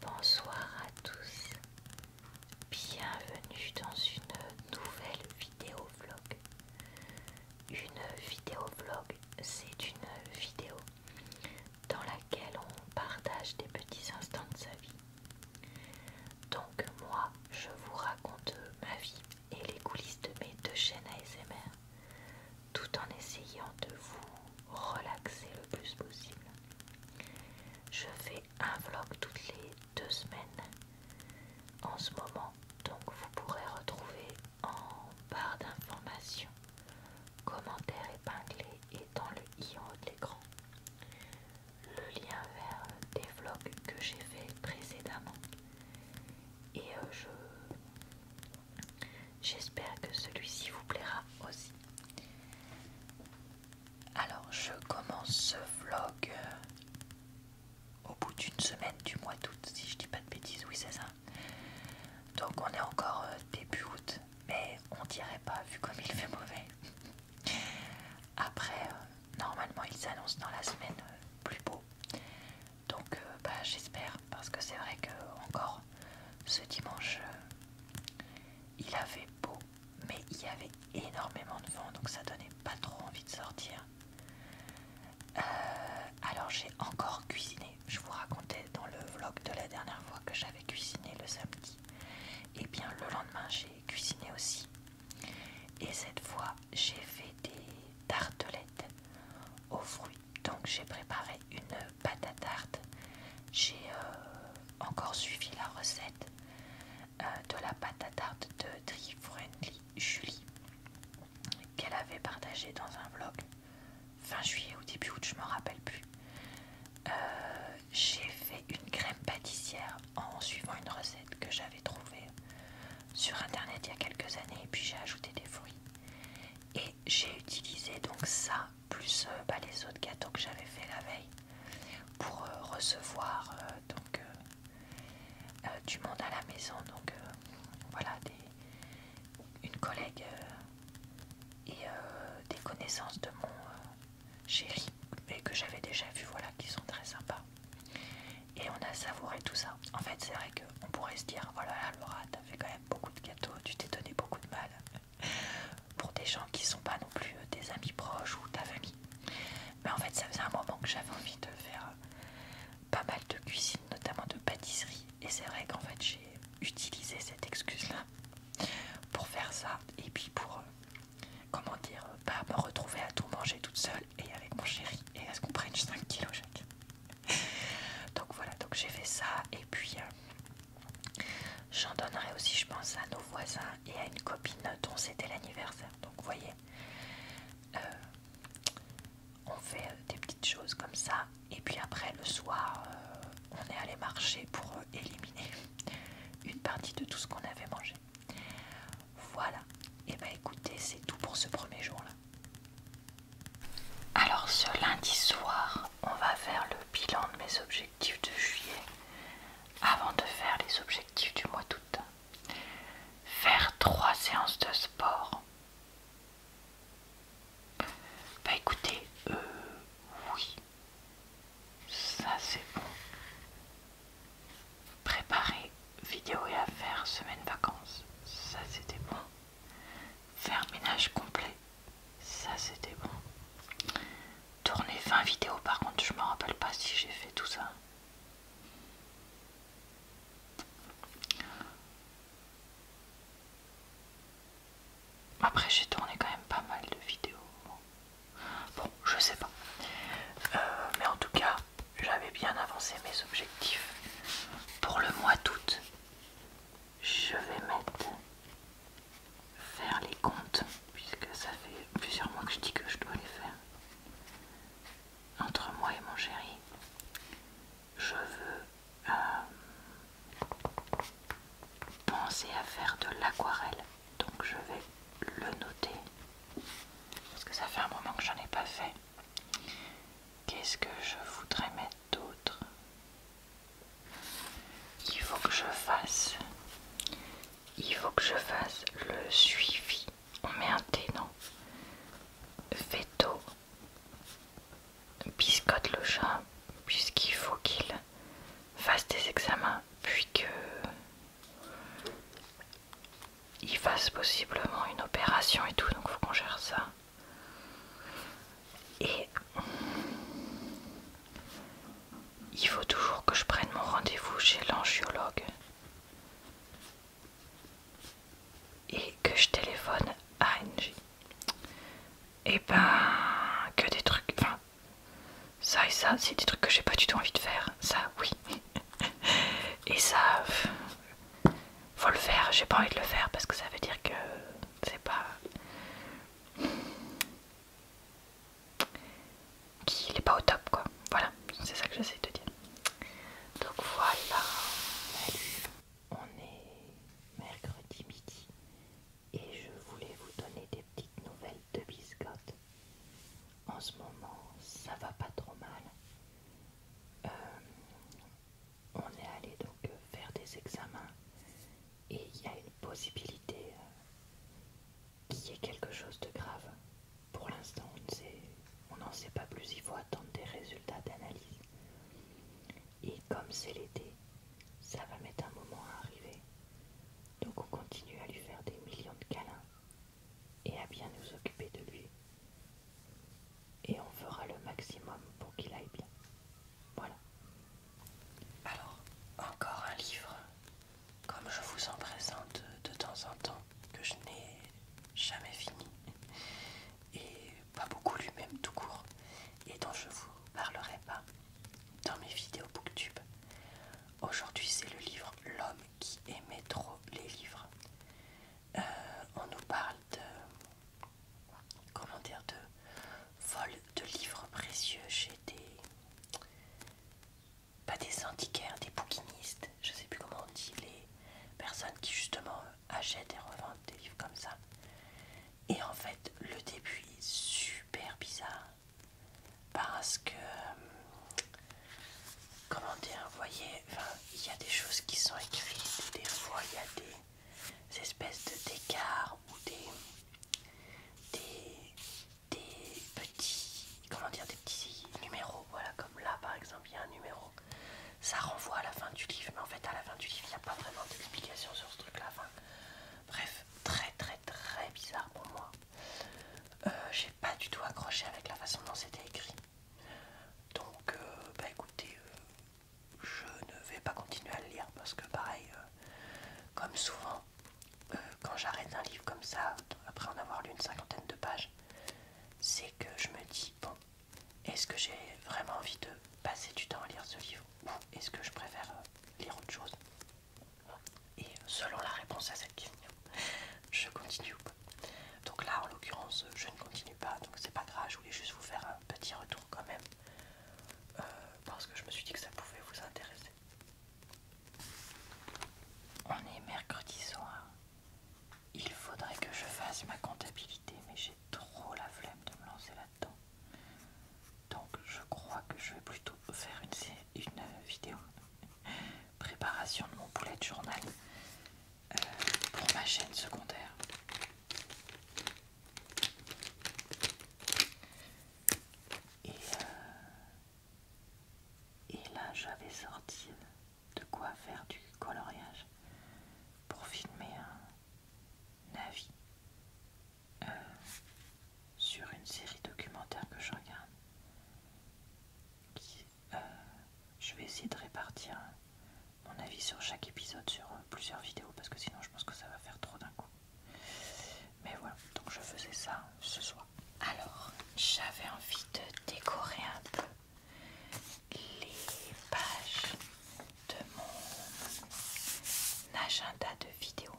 Bonsoir à tous, bienvenue dans une nouvelle vidéo vlog. Une vidéo vlog, c'est une vidéo dans laquelle on partage des petits instants de sa vie. Donc moi, je vous raconte ma vie et les coulisses de mes deux chaînes ASMR, tout en essayant de vous relaxer le plus possible. Je fais un vlog toutes les deux semaines en ce moment, donc vous pourrez retrouver en barre d'informations, commentaires épinglés et dans le i en haut de l'écran le lien vers des vlogs que j'ai fait précédemment et euh, je J'espère que celui-ci vous plaira aussi. Alors, je commence ce vlog euh, au bout d'une semaine du mois d'août, si je dis pas de bêtises, oui c'est ça. Donc on est encore euh, début août, mais on dirait pas vu comme il fait mauvais. Après, euh, normalement il s'annonce dans la semaine plus beau. Donc bah, j'espère, parce que c'est vrai que encore ce dimanche. Il avait beau, mais il y avait énormément de vent, donc ça donnait pas trop envie de sortir. Euh, alors j'ai encore cuisiné. Je vous racontais dans le vlog de la dernière fois que j'avais cuisiné le samedi. Et eh bien le lendemain j'ai cuisiné aussi. Et cette fois j'ai fait des tartelettes aux fruits donc j'ai préparé une pâte à tarte. J'ai euh, encore suivi la recette euh, de la pâte à tarte de Tri Friendly Julie qu'elle avait partagée dans un vlog fin juillet ou début août, je me rappelle plus. Euh, j'ai fait une crème pâtissière en suivant une recette que j'avais trouvée sur internet il y a quelques années et puis j'ai ajouté des fruits. Et j'ai utilisé donc ça plus euh, bah, les autres gâteaux que j'avais fait la veille pour euh, recevoir euh, donc du monde à la maison donc voilà une collègue et des connaissances de mon chéri mais que j'avais déjà vu voilà qui sont très sympas et on a savouré tout ça en fait c'est vrai qu'on pourrait se dire voilà oh Laura t'as fait quand même beaucoup de gâteaux tu t'es donné beaucoup de mal pour des gens qui ne sont pas non plus euh, des amis proches ou de famille. Mais en fait, ça faisait un moment que j'avais envie de faire euh, pas mal de cuisine, notamment de pâtisserie. Et c'est vrai qu'en fait, j'ai utilisé cette excuse-là pour faire ça et puis pour, euh, comment dire, pas bah, me retrouver à tout manger toute seule et avec mon chéri et à ce qu'on prenne 5 kilos chacun. donc voilà, donc j'ai fait ça et puis euh, j'en donnerai aussi je pense à nos voisins et à une copine dont c'était l'anniversaire. Donc vous voyez, euh, on fait des petites choses comme ça et puis après le soir euh, on est allé marcher pour éliminer une partie de tout ce qu'on avait mangé. Voilà, et eh bah ben, écoutez c'est tout pour ce premier jour là. Alors ce lundi soir, on va faire le bilan de mes objectifs de juillet avant de faire les objectifs du mois d'août. Faire trois séances de sport. Bah écoutez, euh, oui, ça c'est bon. Préparer vidéo et affaires semaine vacances, ça c'était bon. Faire ménage complet, ça c'était bon. Tourner 20 vidéos par contre, je me rappelle pas si j'ai fait tout ça. Après j'ai tourné quand même pas mal de vidéos. Bon, je sais pas. Euh, mais en tout cas, j'avais bien avancé mes objectifs pour le mois d'août je vais mettre faire les comptes puisque ça fait plusieurs mois que je dis que je dois les faire entre moi et mon chéri je veux euh, penser à faire de l'aquarelle donc je vais le noter parce que ça fait un moment que j'en ai pas fait qu'est ce que je voudrais mettre d'autre il faut que je fasse il faut que je fasse le suivi on met un thé non veto biscotte le chat puisqu'il faut qu'il fasse des examens puis que il fasse possiblement une opération et tout donc faut qu'on gère ça et il faut toujours que je prenne mon rendez-vous chez l'angiologue et que je téléphone à NG. Et eh ben, que des trucs. Enfin, ça et ça, c'est des trucs que j'ai pas du tout envie de faire. Ça, oui. et ça, faut le faire, j'ai pas envie de le faire parce que ça veut dire que c'est pas qu'il est pas au top quoi. Voilà, c'est ça que j'essaie de dire. Donc voilà, on est mercredi midi et je voulais vous donner des petites nouvelles de biscotte. En ce moment, ça va pas trop mal. Euh, on est allé donc euh, faire des examens et il y a une possibilité euh, qu'il y ait quelque chose de grave. Pour l'instant, on n'en sait pas plus, il faut attendre des résultats d'analyse. Et comme c'est l'été, ça va mettre un moment à arriver. Donc on continue à lui faire des millions de câlins et à bien nous occuper de lui et on fera le maximum pour qu'il aille bien. Voilà. Alors, encore un livre, comme je vous en présente de temps en temps, que je n'ai jamais fini, et pas beaucoup lu même tout court, et dont je vous parlerai pas dans mes vidéos booktube. Aujourd'hui, c'est le livre L'homme qui aimait trop les livres. Euh, on nous parle de comment dire de vol de livres précieux chez des pas des antiquaires, des bouquinistes, je sais plus comment on dit, les personnes qui justement achètent et revendent des livres comme ça. Et en fait, le début est super bizarre parce que comment dire, vous voyez, il y a des choses qui sont écrites, des fois il y a des ces espèces d'écart ou des, petits comment dire des petits numéros voilà comme là par exemple il y a un numéro ça renvoie à la fin du livre mais en fait à la fin du livre il n'y a pas vraiment d'explication sur ce truc là bref très très très bizarre pour moi euh, j'ai pas du tout accroché avec la façon dont c'était écrit donc euh, bah écoutez euh, je ne vais pas continuer à le lire parce que pareil, euh, comme souvent, euh, quand j'arrête un livre comme ça, après en avoir lu une cinquantaine de pages, c'est que je me dis, bon, est-ce que j'ai vraiment envie de passer du temps à lire ce livre ou est-ce que je préfère euh, lire autre chose Et selon la réponse à cette question, je continue ou pas. Donc là, en l'occurrence, je ne continue pas, donc c'est pas grave, je voulais juste vous faire un petit retour quand même, euh, parce que je me suis dit que ça pouvait vous intéresser. On est mercredi soir. Il faudrait que je fasse ma comptabilité, mais j'ai trop la flemme de me lancer là-dedans. Donc je crois que je vais plutôt faire une, une vidéo préparation de mon poulet de journal euh, pour ma chaîne secondaire. Euh, et, là, j'avais sorti de quoi faire du coloriage pour filmer un avis euh, sur une série documentaire que je regarde euh, je vais essayer de répartir euh, mon avis sur chaque épisode sur euh, plusieurs vidéos parce que sinon je pense que ça va faire trop d'un coup. Mais voilà, donc je faisais ça hein, ce soir. Alors, j'avais envie de décorer un peu les pages de mon agenda de vidéos.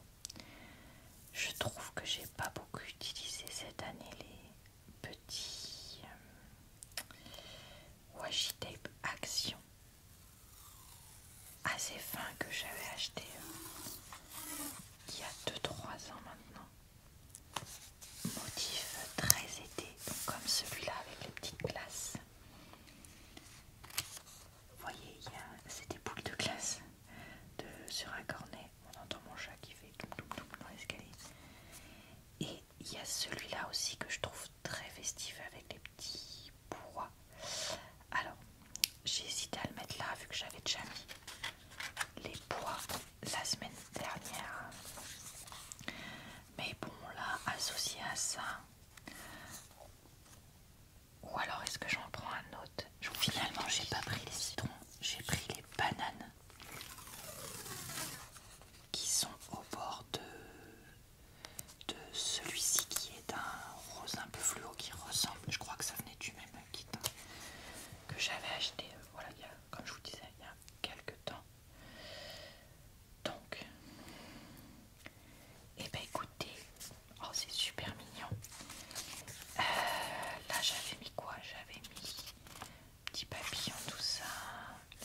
Je trouve que j'ai pas beaucoup utilisé cette année les petits washi tape action assez ah, fin que j'avais acheté hein. il y a 2-3 ans maintenant. Motif très été, comme celui-là avec les petites glaces. Vous voyez, c'est des boules de glace de, sur un cornet. On entend mon chat qui fait dans l'escalier. Et il y a celui-là aussi que je trouve très festif avec les petits pois. Alors, j'ai hésité à le mettre là vu que j'avais déjà mis les pois la semaine dernière. Mais bon, là, associé à ça. Ou alors est-ce que j'en prends un autre Finalement, j'ai pas pris les citrons, j'ai pris les bananes qui sont au bord de, celui-ci qui est un rose un peu fluo qui ressemble, je crois que ça venait du même kit que j'avais acheté, euh, voilà, il y a, comme je vous disais, il y a quelques temps. Donc, et eh ben écoutez, oh c'est super mignon. Euh, là j'avais mis quoi J'avais mis petit papillon, tout ça.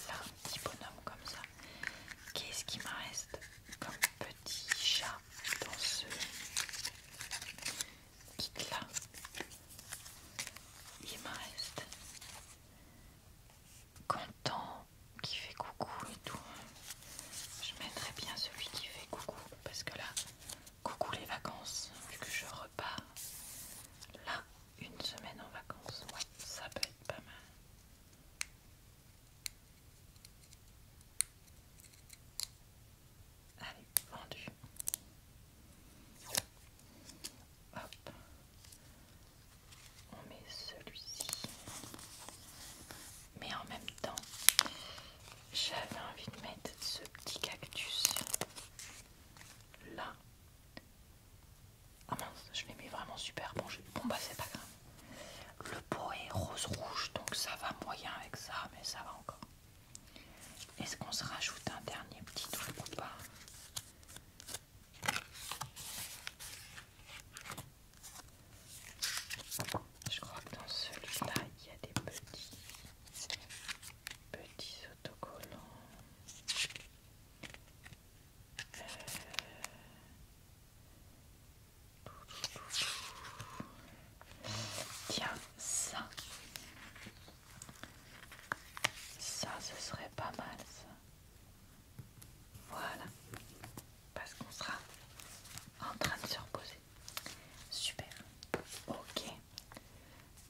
Là, petit bonhomme comme ça. Qu'est-ce qui me reste comme petit chat dans ce kit là Il me reste Content qui fait coucou et tout. Je mettrai bien celui qui fait coucou parce que là, coucou les vacances, vu que je repars là une semaine en vacances, ouais, ça peut être pas mal. Allez, vendu. Hop. On met celui-ci. Mais en même temps, j'avais envie de mettre ce petit cactus là. Ah mince, je l'ai mis vraiment super bon. Je... Bon bah c'est pas grave. Le pot est rose rouge, donc ça va moyen avec ça, mais ça va encore. Est-ce qu'on se rajoute un dernier petit truc ou pas Je crois que dans celui-là, il y a des petits autocollants. Tiens, ça. Ça, ce serait pas mal, ça. Voilà. Parce qu'on sera en train de se reposer. Super. Ok.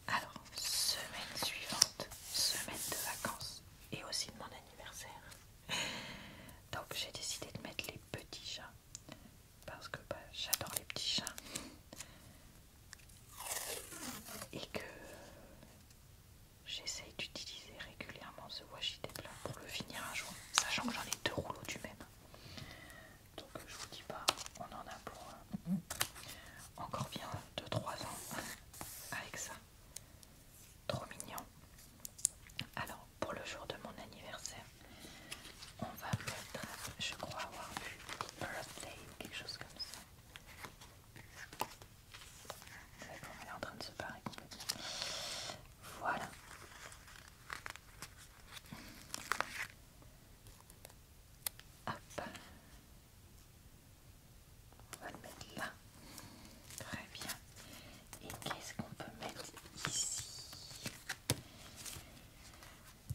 Alors, semaine suivante, semaine de vacances et aussi de mon anniversaire. Donc j'ai décidé de mettre les petits chats parce que bah, j'adore les petits chats et que j'essaye d'utiliser régulièrement ce washi tape pour le finir un jour, sachant que j'en ai deux rouleaux du même. Donc je vous dis pas, on en a pour euh, encore bien 2-3 ans avec ça. Trop mignon. Alors pour le jour de mon anniversaire, on va mettre, je crois avoir vu birthday ou quelque chose comme ça. D'accord, elle est en train de se parer Voilà. Hop. On va le mettre là. Très bien. Et qu'est-ce qu'on peut mettre ici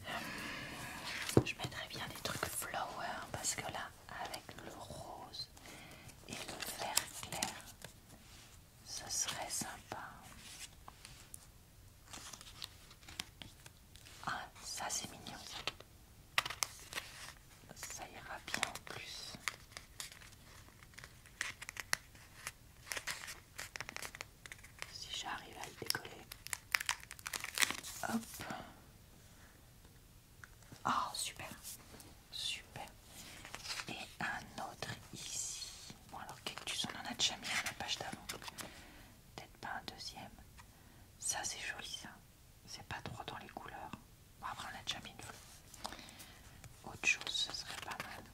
euh, Je mettrais bien des trucs flower parce que là, avec le rose et le vert clair, ce serait sympa. Ah, ça c'est mignon. Ça ira bien en plus. Si j'arrive à le décoller. Hop. Ah, super. Super. Et un autre ici. Bon, alors, que on en a déjà mis à la page d'avant. Peut-être pas un deuxième. Ça, c'est joli, ça. C'est pas trop dans les couleurs. après, on a déjà mis une Autre chose, ce serait pas mal.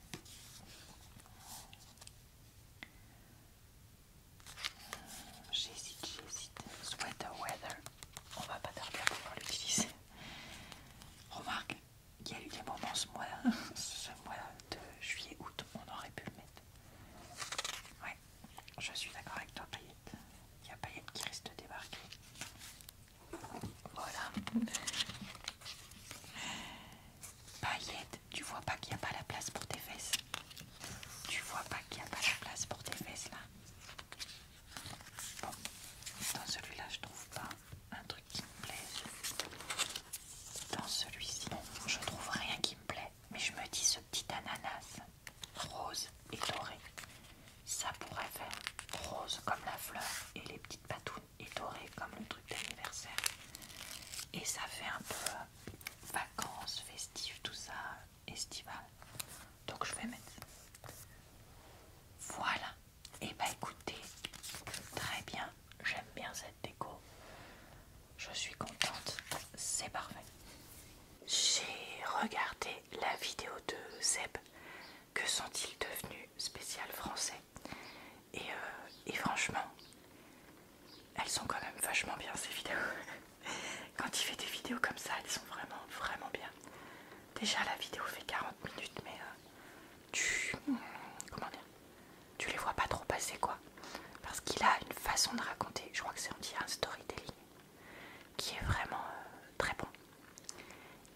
J'hésite, j'hésite. Sweater weather. On va pas tarder à pouvoir l'utiliser. Remarque, il y a eu des moments ce mois, ce mois de juillet-août, on aurait pu le mettre. Ouais, je suis d'accord avec toi, Paillette, Il y a Paillette qui risque de débarquer. Voilà. Paillette, tu vois pas qu'il n'y a pas la place pour tes fesses Tu vois pas qu'il n'y a pas la place pour tes fesses là Bon, dans celui-là, je trouve pas un truc qui me plaise. Dans celui-ci, je trouve rien qui me plaît mais je me dis ce petit ananas rose et doré, ça pourrait faire rose comme la fleur et les petites patounes et doré comme le truc d'anniversaire. Et ça fait un peu euh, vacances, festives, tout ça, estival. Donc je vais mettre Voilà. Et eh bah ben, écoutez, très bien, j'aime bien cette déco. Je suis contente, c'est parfait. J'ai regardé la vidéo de Zeb, que sont-ils devenus spécial français euh, et, franchement, elles sont quand même vachement bien ces vidéos. Quand il fait des vidéos comme ça, elles sont vraiment, vraiment bien. Déjà la vidéo fait 40 minutes, mais euh, tu... Hmm, comment dire tu les vois pas trop passer quoi. Parce qu'il a une façon de raconter, je crois que c'est un storytelling qui est vraiment euh, très bon.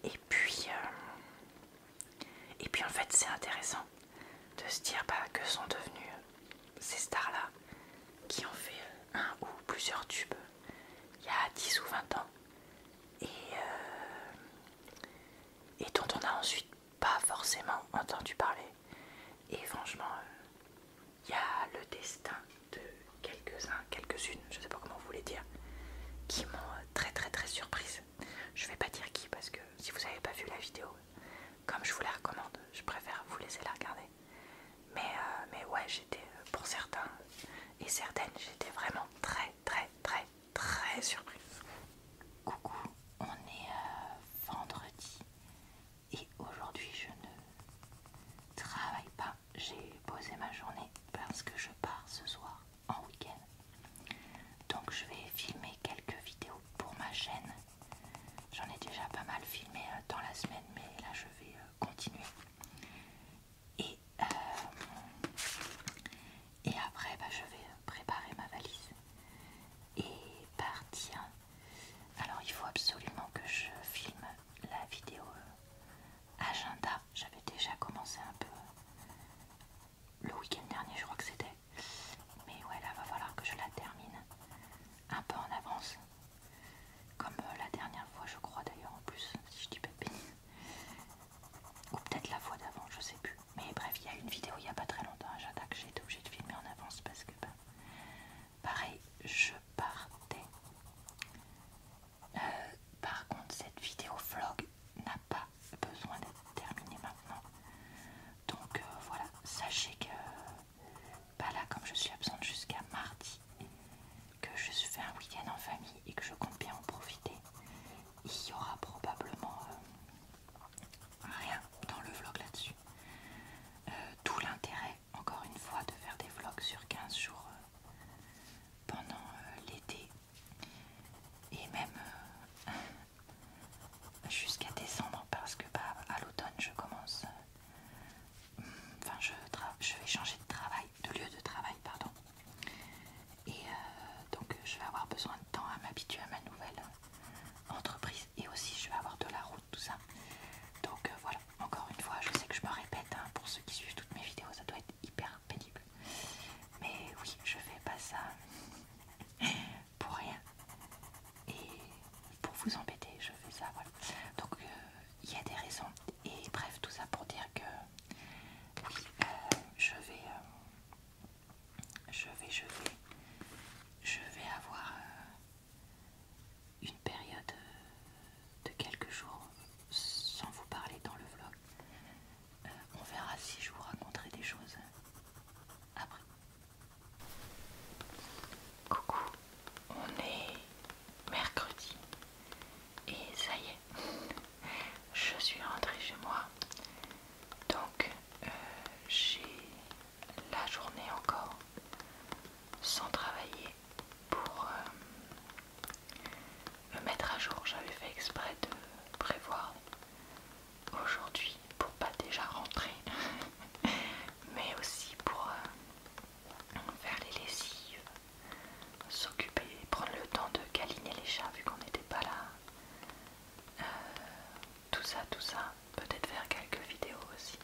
Et puis, euh, et puis en fait c'est intéressant de se dire bah, que sont devenus euh, ces stars-là qui ont fait un ou plusieurs tubes il y a 10 ou 20 ans et dont on a ensuite pas forcément entendu parler. Et franchement, il euh, y a le destin de quelques-uns, quelques-unes, je sais pas comment vous voulez dire, qui m'ont euh, très très très surprise. Je vais pas dire qui parce que si vous avez pas vu la vidéo, comme je vous la recommande, je préfère vous laisser la regarder. Mais, euh, mais ouais, j'étais pour certains et certaines, j'étais vraiment très très très très surprise. Coucou, on est vendredi et aujourd'hui, je ne travaille pas. J'ai posé ma journée parce que je pars ce soir en week-end. Donc je vais filmer quelques vidéos pour ma chaîne. J'en ai déjà pas mal filmé euh, dans la semaine, mais là je vais euh, continuer. Et, euh, et après, bah, je vais préparer ma valise et partir alors il faut absolument que je filme la vidéo euh, agenda. J'avais déjà commencé un peu euh, le week-end dernier, je crois que c'était. Mais ouais, là va falloir que je la termine un peu en avance. Comme euh, la dernière fois, je crois d'ailleurs en plus, si je dis pas de Ou peut-être la fois d'avant, je sais plus. Mais bref, il y a une vidéo il n'y a pas très longtemps, agenda que j'ai été obligée de filmer en avance parce que bah, Pareil, je partais. Euh, par contre, cette vidéo vlog n'a pas besoin d'être terminée maintenant. Donc euh, voilà, sachez que pas bah là, comme je suis absente jusqu'à mardi, que je suis fait un week-end en famille et que je compte bien en profiter, il y aura probablement euh, rien dans le vlog là-dessus. Euh, d'où l'intérêt, encore une fois, de faire des vlogs sur 15 jours euh, pendant euh, l'été et même jusqu'à décembre parce que bah, à l'automne je commence. enfin, je, vais changer de travail, de lieu de travail, pardon. Et donc, je vais avoir besoin de temps à m'habituer à ma nouvelle entreprise et aussi je vais avoir de la route, tout ça. Donc euh, voilà, encore une fois, je sais que je me répète, hein, pour ceux qui suivent toutes mes vidéos, ça doit être hyper pénible. Mais oui, je fais pas ça pour rien. Et pour vous embêter, je fais ça, voilà. Donc euh, il y a des raisons. Et bref, tout ça pour dire que oui, euh, je vais je vais, je vais, je vais avoir euh, une période euh, de quelques jours sans vous parler dans le vlog. Euh, on verra si je vous raconterai des choses après. Coucou, on est mercredi et ça y est, je suis rentrée chez moi. Donc j'ai la journée encore sans travailler pour euh, me mettre à jour. J'avais fait exprès de prévoir aujourd'hui pour pas déjà rentrer, mais aussi pour euh, faire les lessives, s'occuper, prendre le temps de galiner les chats vu qu'on n'était pas là. Euh, tout ça, tout ça, peut-être faire quelques vidéos aussi.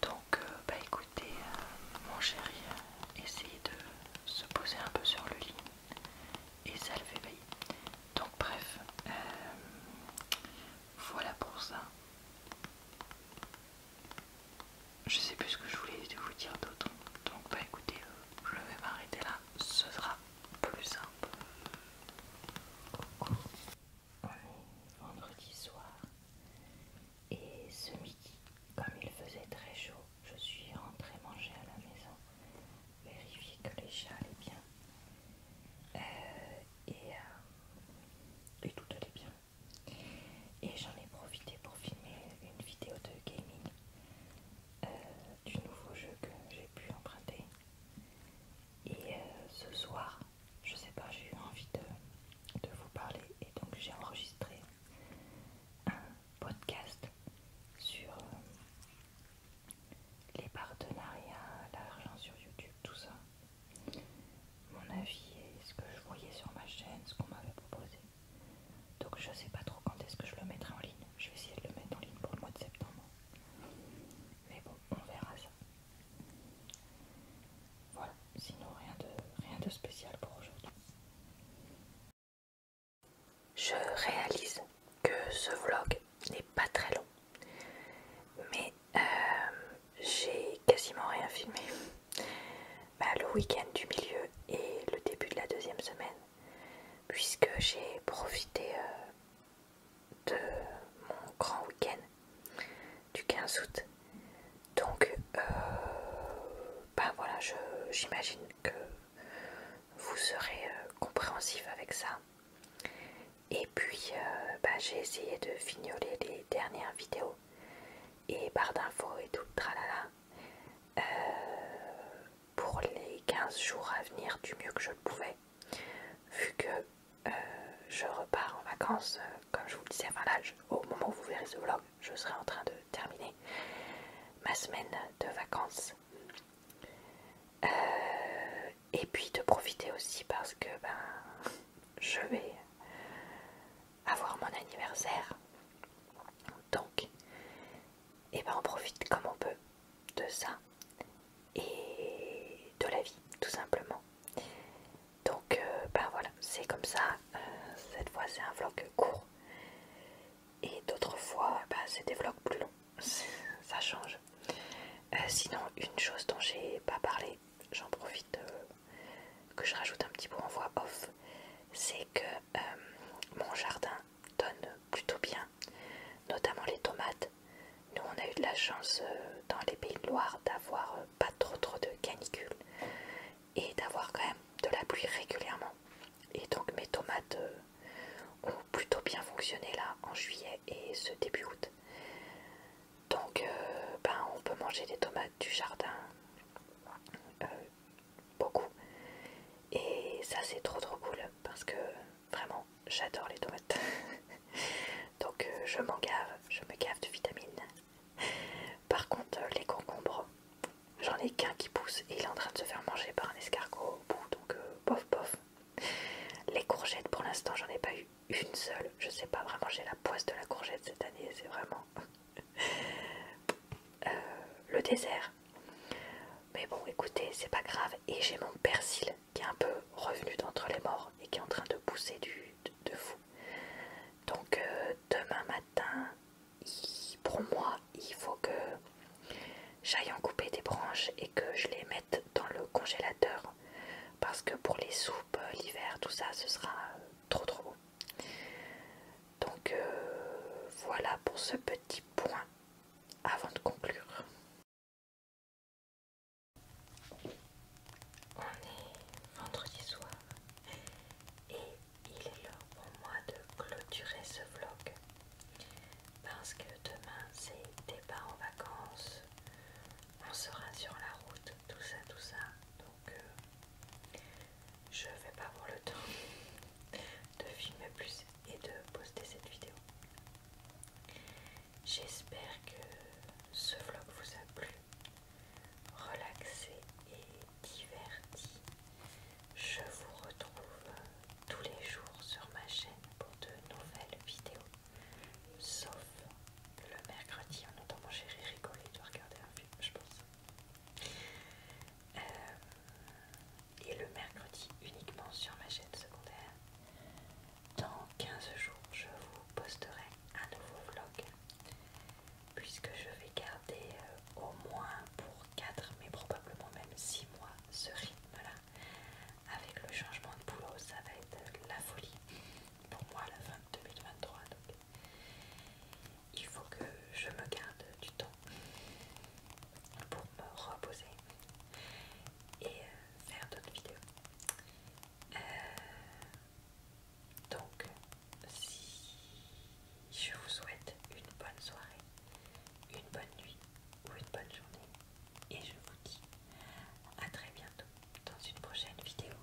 Donc, euh, bah écoutez, euh, mon chéri, euh, essayez de se poser un peu sur le lit et ça le fait bailler. Donc, bref, voilà pour ça. Je sais plus ce que je voulais vous dire d'autre. Donc, bah écoutez, je vais m'arrêter là. Ce sera plus simple. on vendredi soir et ce midi, comme il faisait très chaud, je suis rentrée manger à la maison, vérifier que les chats allaient bien. Euh, euh, et, tout allait bien. Et j'en ai profité pour filmer une vidéo de gaming euh, du nouveau jeu que j'ai pu emprunter et euh, ce soir, je sais pas, j'ai eu envie de, vous parler et donc j'ai enregistré un podcast sur euh, les partenariats, l'argent sur YouTube, tout ça. Mon avis et ce que je voyais sur ma chaîne, ce qu'on m'avait proposé. Donc je sais pas trop quand est-ce que je le mettrai en ligne. Je vais essayer de le mettre en ligne pour le mois de septembre. Mais bon, on verra ça. Voilà, sinon rien de, spécial pour aujourd'hui. Je réalise que ce vlog n'est pas très long, mais euh, j'ai quasiment rien filmé. Bah, le week-end du milieu et le début de la deuxième semaine, puisque j'ai profité euh, de mon grand week-end du 15 août. Donc, ben voilà, j'imagine que vous serez euh, compréhensif avec ça. Et puis, euh, bah, j'ai essayé de fignoler les dernières vidéos et barre d'infos et tout tralala pour les 15 jours à venir du mieux que je le pouvais, vu que euh, je repars en vacances, euh, comme je vous le disais, enfin au moment où vous verrez ce vlog, je serai en train de terminer ma semaine de vacances. Euh, et puis de profiter aussi parce que ben je vais avoir mon anniversaire. Donc, et eh ben on profite comme on peut de ça et de la vie tout simplement. Donc euh, ben voilà, c'est comme ça, euh, cette fois c'est un vlog court et d'autres fois ben, c'est des vlogs plus longs, ça change. Euh, sinon une chose dont j'ai pas parlé, j'en profite que je rajoute un petit peu en voix off, c'est que mon jardin donne plutôt bien notamment les tomates. Nous, on a eu de la chance euh, dans les Pays de Loire d'avoir euh, pas trop trop de canicule et d'avoir quand même de la pluie régulièrement. Et donc mes tomates euh, ont plutôt bien fonctionné là en juillet et ce début août. Donc ben, on peut manger des tomates du jardin beaucoup. Et ça c'est trop trop cool parce que vraiment j'adore les tomates. Donc euh, je m'en gave, je me gave de vitamines. Par contre euh, les concombres, j'en ai qu'un qui pousse et il est en train de se faire manger par un escargot au bout. Donc euh, pof pof Les courgettes pour l'instant j'en ai pas eu une seule. Je sais pas vraiment j'ai la poisse de la courgette cette année, c'est vraiment... le désert, mais bon, écoutez, c'est pas grave. Et j'ai mon persil qui est un peu revenu d'entre les morts et qui est en train de pousser du, de, fou. Donc euh, demain matin, pour moi, il faut que j'aille en couper des branches et que je les mette dans le congélateur. Parce que pour les soupes, euh, l'hiver, tout ça, ce sera euh, trop trop beau Donc voilà pour ce petit point avant de conclure. On est vendredi soir et il est l'heure pour moi de clôturer ce vlog parce que demain c'est départ en vacances, on sera sur la route, tout ça, tout ça. Donc euh, je vais pas avoir le temps de filmer plus et de poster cette vidéo. J'espère que ce vlog vous a plu, relaxé et diverti. Je vous retrouve tous les jours sur ma chaîne pour de nouvelles vidéos, sauf le mercredi en attendant j'ai rigoler de regarder un film, je pense. Euh, et le mercredi uniquement sur ma chaîne secondaire. Dans 15 jours, je vous posterai un nouveau vlog puisque je vais garder euh, au moins pour 4 mais probablement même 6 mois ce rythme-là. Avec le changement de boulot, ça va être la folie pour moi à la fin de 2023. Donc, il faut que je me garde pour me reposer et euh, faire d'autres vidéos. Euh, donc, si je vous souhaite une bonne soirée, une bonne nuit ou une bonne journée, et je vous dis à très bientôt dans une prochaine vidéo.